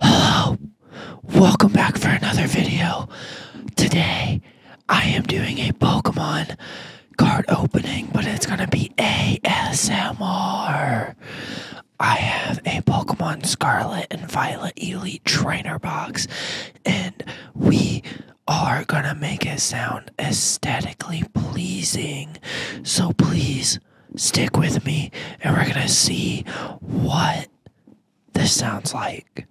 Hello, welcome back for another video. Today, I am doing a Pokemon card opening, but it's gonna be ASMR. I have a Pokemon Scarlet and Violet Elite Trainer Box, and we are gonna make it sound aesthetically pleasing. So please stick with me, and we're gonna see what this sounds like.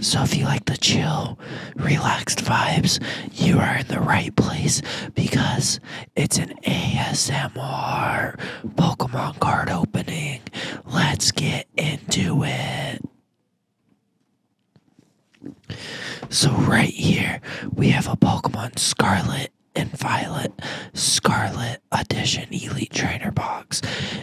So, if you like the chill, relaxed vibes, you are in the right place because it's an ASMR Pokemon card opening. Let's get into it. So, right here, we have a Pokemon Scarlet and Violet Scarlet Edition Elite Trainer Box.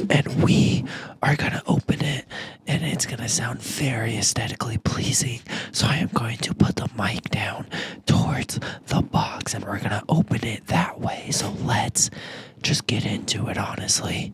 And we are going to open it and it's going to sound very aesthetically pleasing. So I am going to put the mic down towards the box and we're going to open it that way. So let's just get into it, honestly.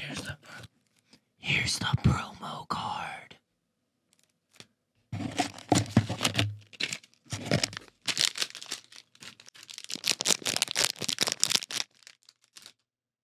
Here's the Here's the promo card.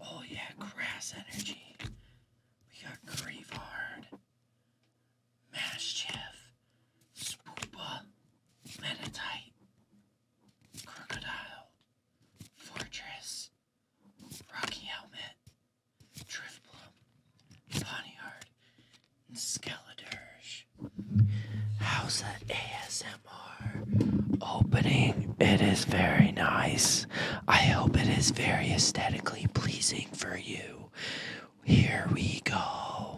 Oh yeah, grass energy. We got Grievard, Mastiff, Spoopa, Metatite, Crocodile, Fortress, Rocky Helmet, Driftblum, Ponyard, and Skeledirge. How's the ASMR opening? It is very nice. I hope it is very aesthetically pleasing for you. Here we go.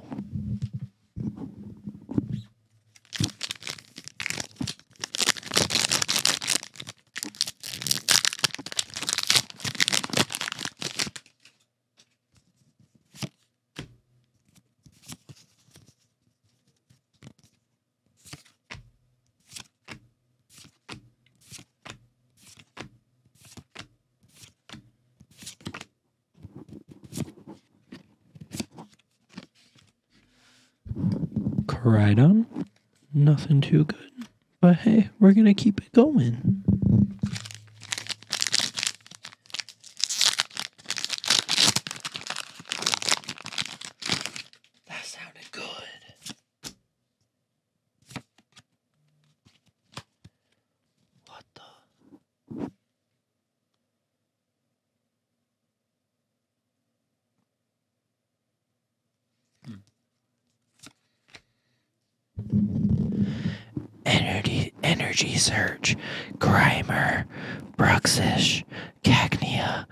Coridon, nothing too good, but hey, we're gonna keep it going. That sounded good. What the? Hmm. Energy, energy search, Grimer, Bruxish, Cagnia,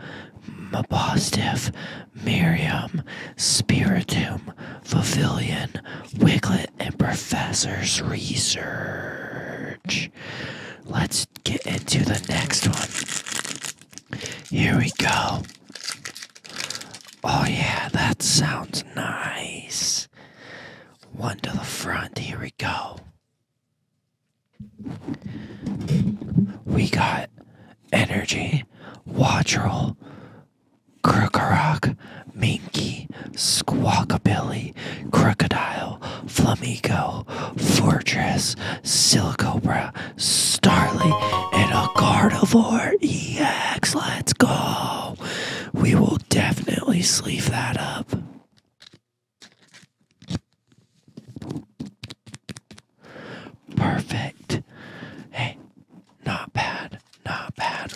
Mabostiff, Miriam, Spiritum, Favilion, Wiglet, and Professor's Research. Let's get into the next one. Here we go. Oh, yeah, that sounds nice. One to the front. Here we go. We got Energy, Watrel, Krookorok, Minky, Squawkabilly, Crocodile, Flamigo, Fortress, Silicobra, Starly, and a Carnivore EX. Let's go! We will definitely sleep that up. Perfect. Hey, not bad, not bad.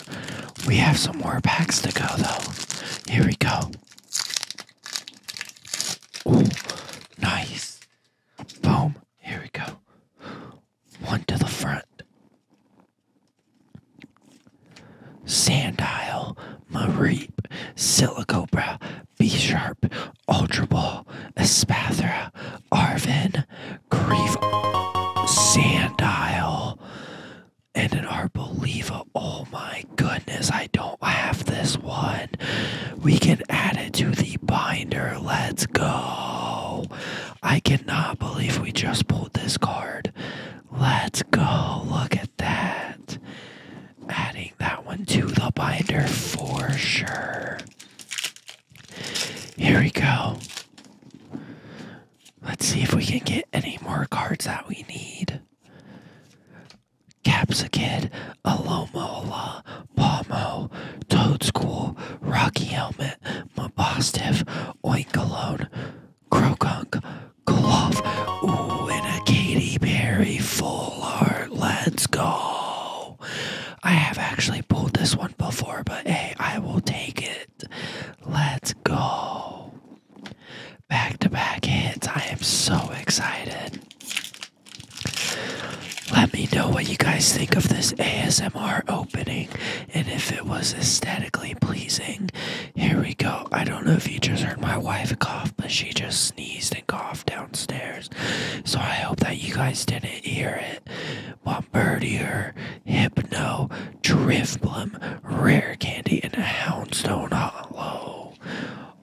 We have some more packs to go though. Here we go. nice. Boom. Here we go. One to the front. Sandile, Isle, Mareep, Silicobra, B Sharp, Ultra Ball, Espathra, Arvin, Grief, Sandile, and an Arboliva. Oh my goodness, I don't have this one. We can add it to the binder. Let's go. I cannot believe we just pulled this card. Let's go. Look at that adding that one to the binder for sure. Here we go. Let's see if we can get any more cards that we need. Capsicid, Alomola, Pomo, Toad School, Rocky Helmet, Mabostif, Oinkalone, Krokonk. Cloth. Ooh, and a Katy Perry full art. Let's go. I have actually pulled this one before, but hey, I will take it. Let's go. Back to back hits. I am so excited. Let me know what you guys think of this ASMR opening and if it was aesthetically pleasing. Here we go. I don't know if you just heard my wife cough, but she just sneezed and coughed downstairs. So I hope that you guys didn't hear it. Bombardier, Hypno, Driftblum, Rare Candy, and a Houndstone Hollow.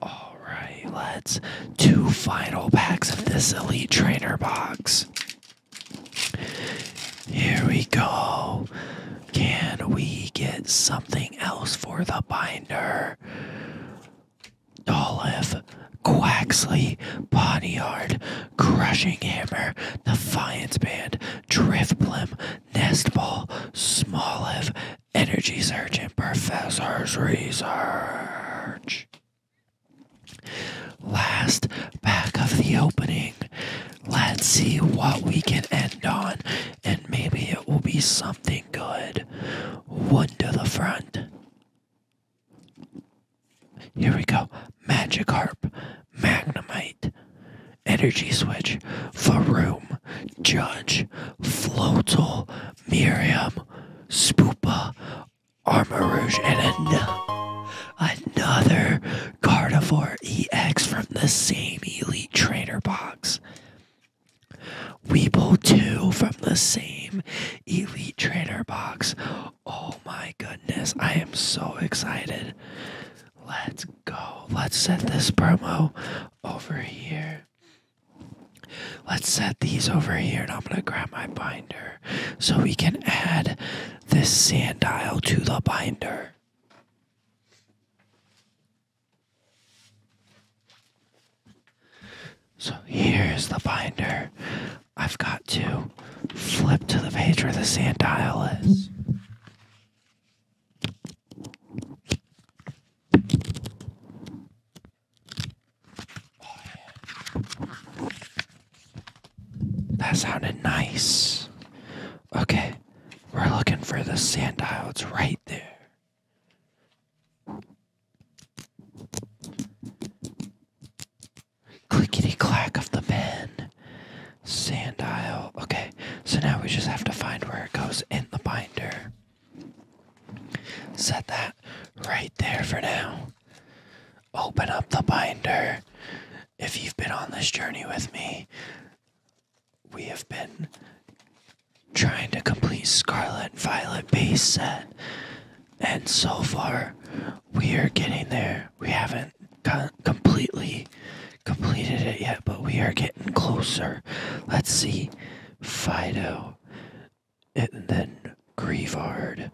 Alright, let's two final packs of this Elite Trainer box. Here we go. Can we get something else for the binder? Summer, Olive, Quaxley, Poniard, Crushing Hammer, Defiance Band, Drift Nestball, Smalliv, Energy Surge, and Professor's Research. Last back of the opening. Let's see what we can end on, and maybe it will be some something good. One to the front. Here we go. Magikarp, Magnemite, Energy Switch, Faroom, Judge, Floatzel, Miriam, Spoopa, Armor Rouge, and an another Gardevoir EX from the same Elite Trainer box. Weeble 2 from the same Elite trainer box. Oh my goodness, I am so excited. Let's go. Let's set this promo over here. Let's set these over here, and I'm going to grab my binder so we can add this sand to the binder. So here's the binder. I've got to flip to the page where the sand dial is. That sounded nice. Okay, we're looking for the sand dial. It's right there. Clickety clack of the pen. Sand aisle. Okay, so now we just have to find where it goes in the binder. Set that right there for now. Open up the binder. If you've been on this journey with me, we have been trying to complete Scarlet Violet base set, and so far we are getting there. We haven't completely completed it yet, but we are getting closer. Let's see Fido, and then Grievard,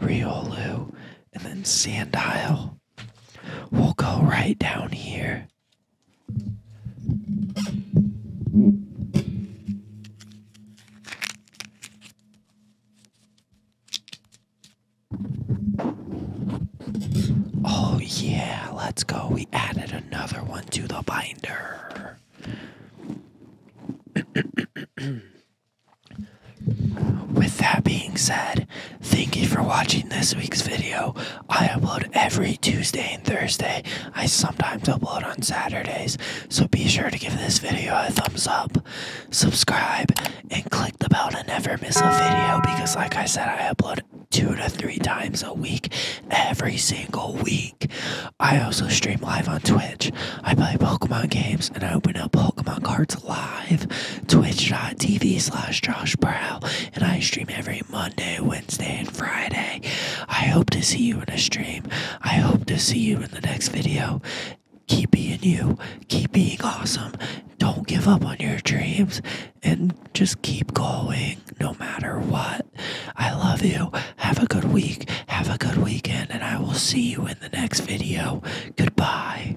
Riolu, and then Sandile. We'll go right down here Oh, yeah, let's go. We added another one to the binder. With that being said, thank you for watching this week's video. I upload every Tuesday and Thursday. I sometimes upload on Saturdays. So be sure to give this video a thumbs up, subscribe, and click the bell to never miss a video because, like I said, I upload two to three times a week every single week. I also stream live on Twitch. I play Pokemon games and I open up Pokemon cards live. Twitch.tv slash Josh Brow. And I stream every Monday, Wednesday, and Friday. I hope to see you in a stream. I hope to see you in the next video. Keep being you. Keep being awesome. Don't give up on your dreams and just keep going no matter what. I love you. Have a good week. Have a good weekend, and I will see you in the next video. Goodbye.